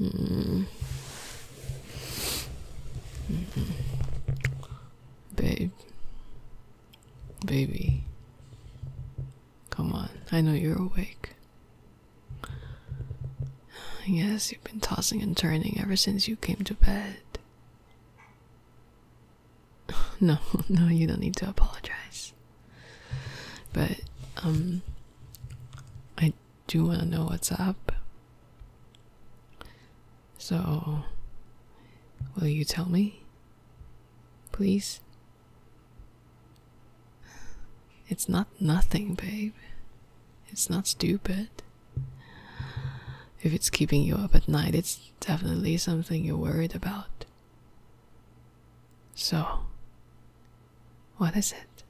Mm. Babe, baby, come on. I know you're awake. Yes, you've been tossing and turning ever since you came to bed. No, no, you don't need to apologize. But, um, I do you want to know what's up. So, will you tell me? Please? It's not nothing, babe. It's not stupid. If it's keeping you up at night, it's definitely something you're worried about. So, what is it?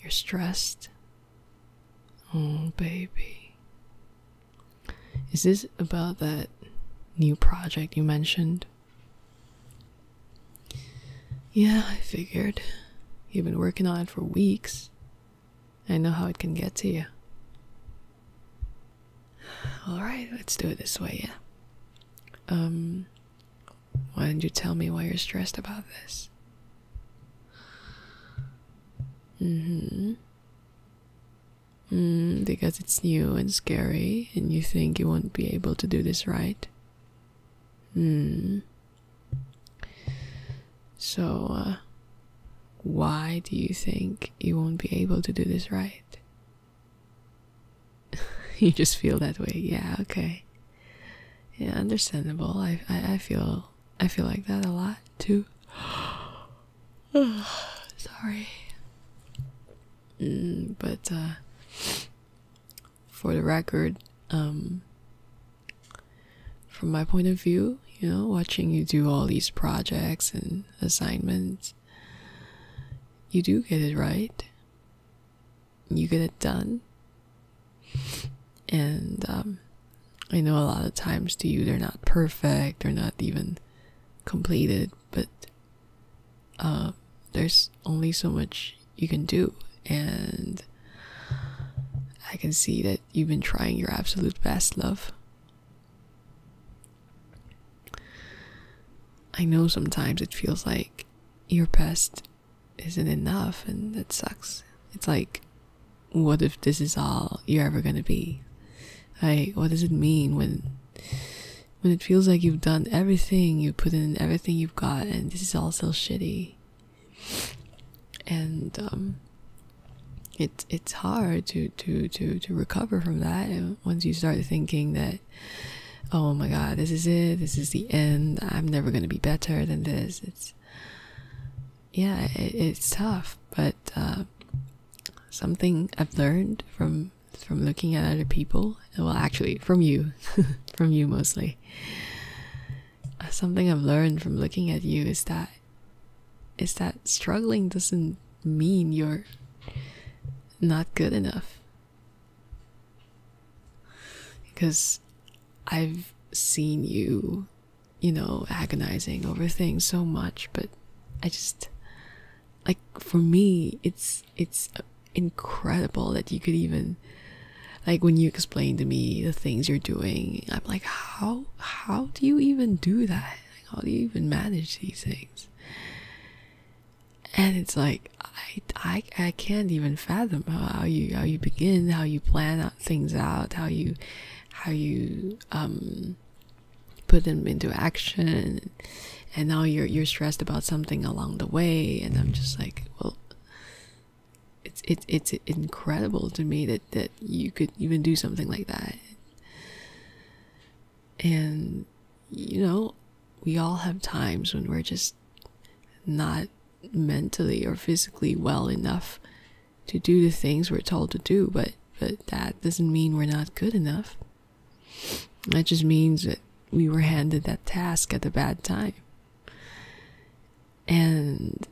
You're stressed? Oh, baby. Is this about that new project you mentioned? Yeah, I figured. You've been working on it for weeks. I know how it can get to you. Alright, let's do it this way, yeah? Um, why didn't you tell me why you're stressed about this? Mm-hmm. Mm, because it's new and scary and you think you won't be able to do this right. Mm. So, uh, why do you think you won't be able to do this right? you just feel that way. Yeah, okay. Yeah, understandable. I, I feel I feel like that a lot too. Sorry. Mm, but uh for the record, um from my point of view, you know, watching you do all these projects and assignments, you do get it right you get it done. And um, I know a lot of times to you they're not perfect, they're not even completed, but uh, there's only so much you can do. And I can see that you've been trying your absolute best, love. I know sometimes it feels like your past isn't enough and that sucks. It's like, what if this is all you're ever gonna be? Like, what does it mean when when it feels like you've done everything, you put in everything you've got, and this is all so shitty? And um, it it's hard to to to to recover from that. once you start thinking that oh my god, this is it, this is the end, I'm never gonna be better than this. It's yeah, it's tough, but uh, something I've learned from from looking at other people, well, actually, from you, from you mostly. Something I've learned from looking at you is that is that struggling doesn't mean you're not good enough. Because I've seen you, you know, agonizing over things so much, but I just like for me it's it's incredible that you could even like when you explain to me the things you're doing, I'm like how how do you even do that? Like, how do you even manage these things? and it's like I, I I can't even fathom how you how you begin, how you plan things out, how you how you um put them into action, and now you're you're stressed about something along the way, and I'm just like, well, it's it's it's incredible to me that that you could even do something like that, and you know, we all have times when we're just not mentally or physically well enough to do the things we're told to do, but but that doesn't mean we're not good enough. That just means that we were handed that task at the bad time. And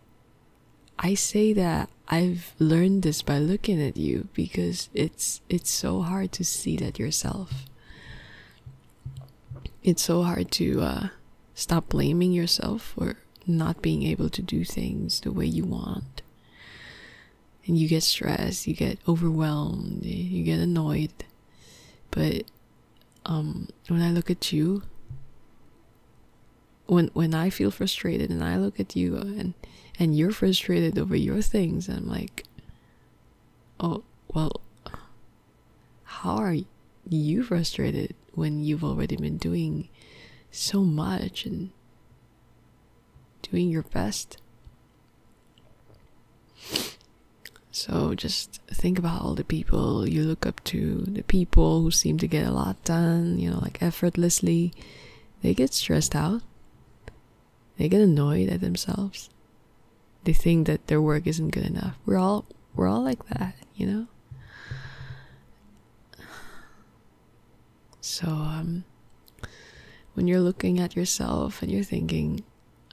I say that I've learned this by looking at you because it's it's so hard to see that yourself it's so hard to uh, stop blaming yourself for not being able to do things the way you want. And you get stressed, you get overwhelmed, you get annoyed. But um, when I look at you, when when I feel frustrated and I look at you and and you're frustrated over your things, I'm like, oh well, how are you frustrated when you've already been doing so much and doing your best? So just think about all the people you look up to, the people who seem to get a lot done, you know, like effortlessly. They get stressed out. They get annoyed at themselves they think that their work isn't good enough. We're all we're all like that, you know. So um, when you're looking at yourself and you're thinking,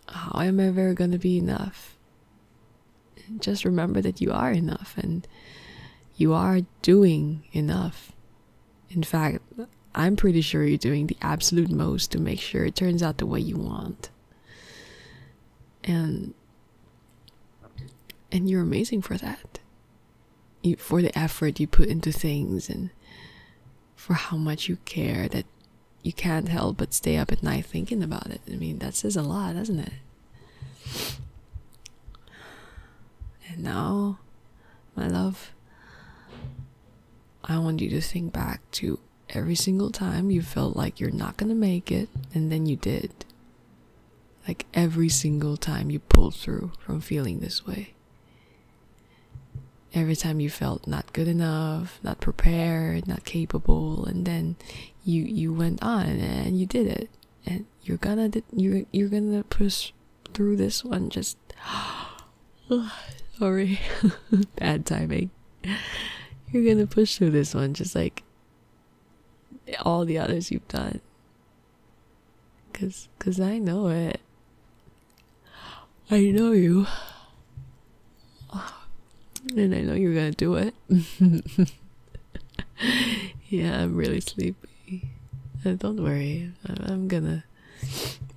how am I ever going to be enough? Just remember that you are enough and you are doing enough. In fact, I'm pretty sure you're doing the absolute most to make sure it turns out the way you want and and you're amazing for that for the effort you put into things and for how much you care that you can't help but stay up at night thinking about it i mean that says a lot doesn't it and now my love i want you to think back to every single time you felt like you're not gonna make it, and then you did. Like every single time you pulled through from feeling this way. Every time you felt not good enough, not prepared, not capable, and then you you went on and you did it, and you're gonna you're you're gonna push through this one. Just sorry, bad timing. You're gonna push through this one just like all the others you've done. Cause, I know it. I know you. And I know you're gonna do it. yeah, I'm really sleepy. Uh, don't worry. I'm, gonna.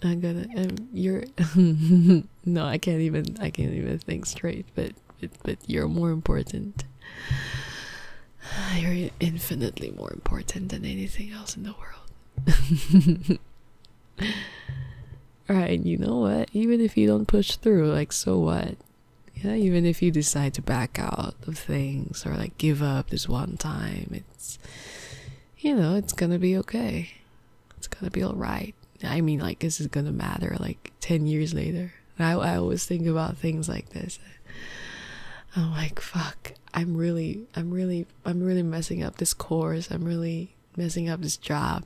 I'm gonna. I'm um, your. no, I can't even I can't even think straight, but but, but you're more important. You're infinitely more important than anything else in the world. Right? you know what? Even if you don't push through, like, so what? Yeah, even if you decide to back out of things or like give up this one time, it's, you know, it's gonna be okay. It's gonna be alright. I mean, like, this is gonna matter like 10 years later. I, I always think about things like this. I'm like, fuck, I'm really, I'm really, I'm really messing up this course. I'm really messing up this job.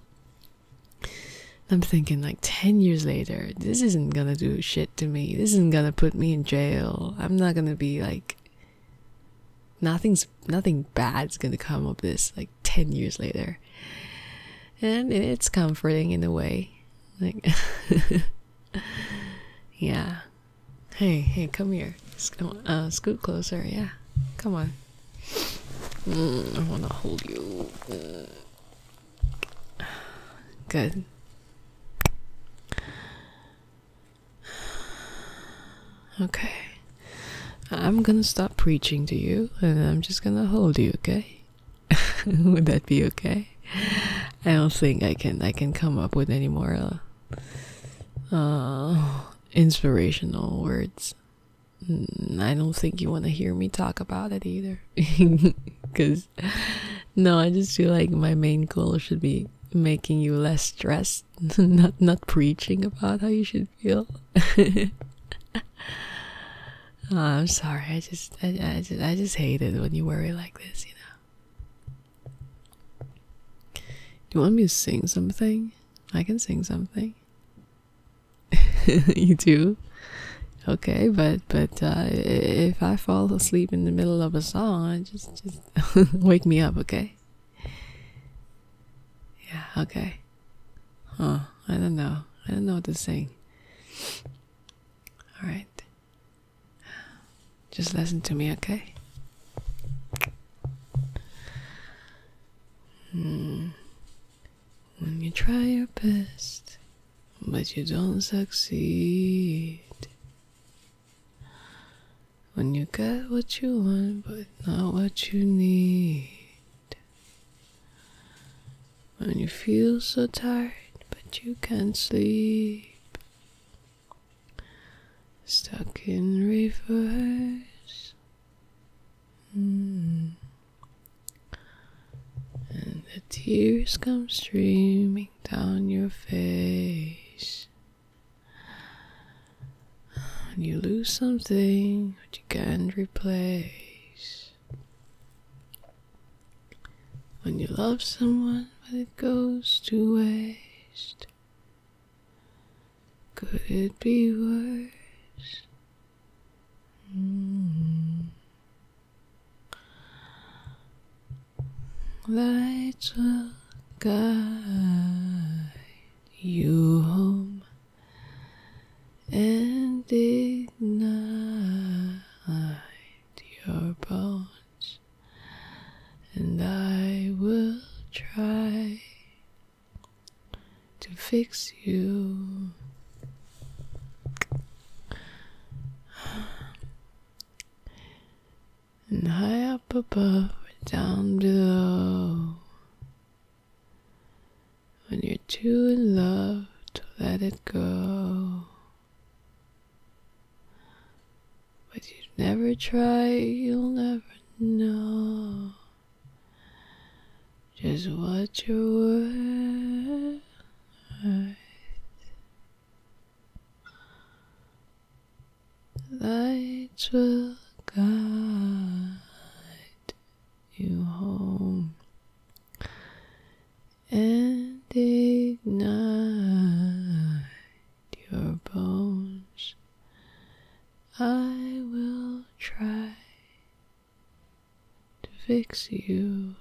I'm thinking, like, 10 years later, this isn't gonna do shit to me. This isn't gonna put me in jail. I'm not gonna be like, nothing's, nothing bad's gonna come of this. Like, 10 years later and it's comforting in a way like yeah hey hey come here uh, scoot closer yeah come on mm, i want to hold you good okay I'm gonna stop preaching to you and I'm just gonna hold you, okay? Would that be okay? I don't think I can I can come up with any more uh, uh, inspirational words. Mm, I don't think you want to hear me talk about it either. Cuz no, I just feel like my main goal should be making you less stressed, not not preaching about how you should Oh, I'm sorry. I just, I, just, I just hate it when you worry like this. You know. Do you want me to sing something? I can sing something. you do. Okay, but but uh, if I fall asleep in the middle of a song, just just wake me up, okay? Yeah, okay. Huh, I don't know. I don't know what to say. Alright. Just listen to me, okay? Hmm. When you try your best, but you don't succeed. When you get what you want, but not what you need. When you feel so tired but you can't sleep, stuck in reverse. Mm. And the tears come streaming down your face. And you lose something which you can't replace. When you love someone, but it goes to waste. Could it be worse? Mm. Lights will guide you home and ignite your bones, and I will try to fix you. And high up above, or down below, when you're too in love to let it go. But you never try, you'll never know just what you're worth. Lights will guide you home and ignite your bones. I will try to fix you.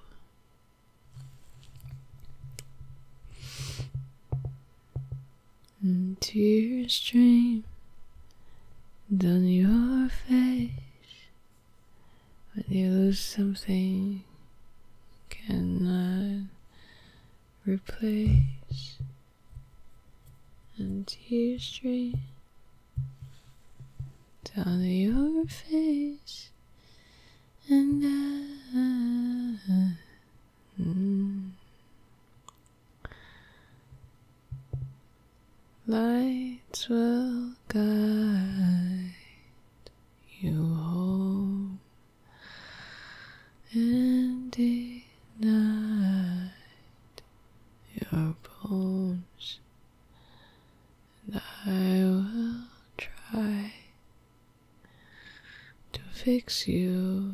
And tears stream down your face when you lose something, cannot replace and tears stream down your face and I, mm. Lights will guide you home and ignite your bones, and I will try to fix you.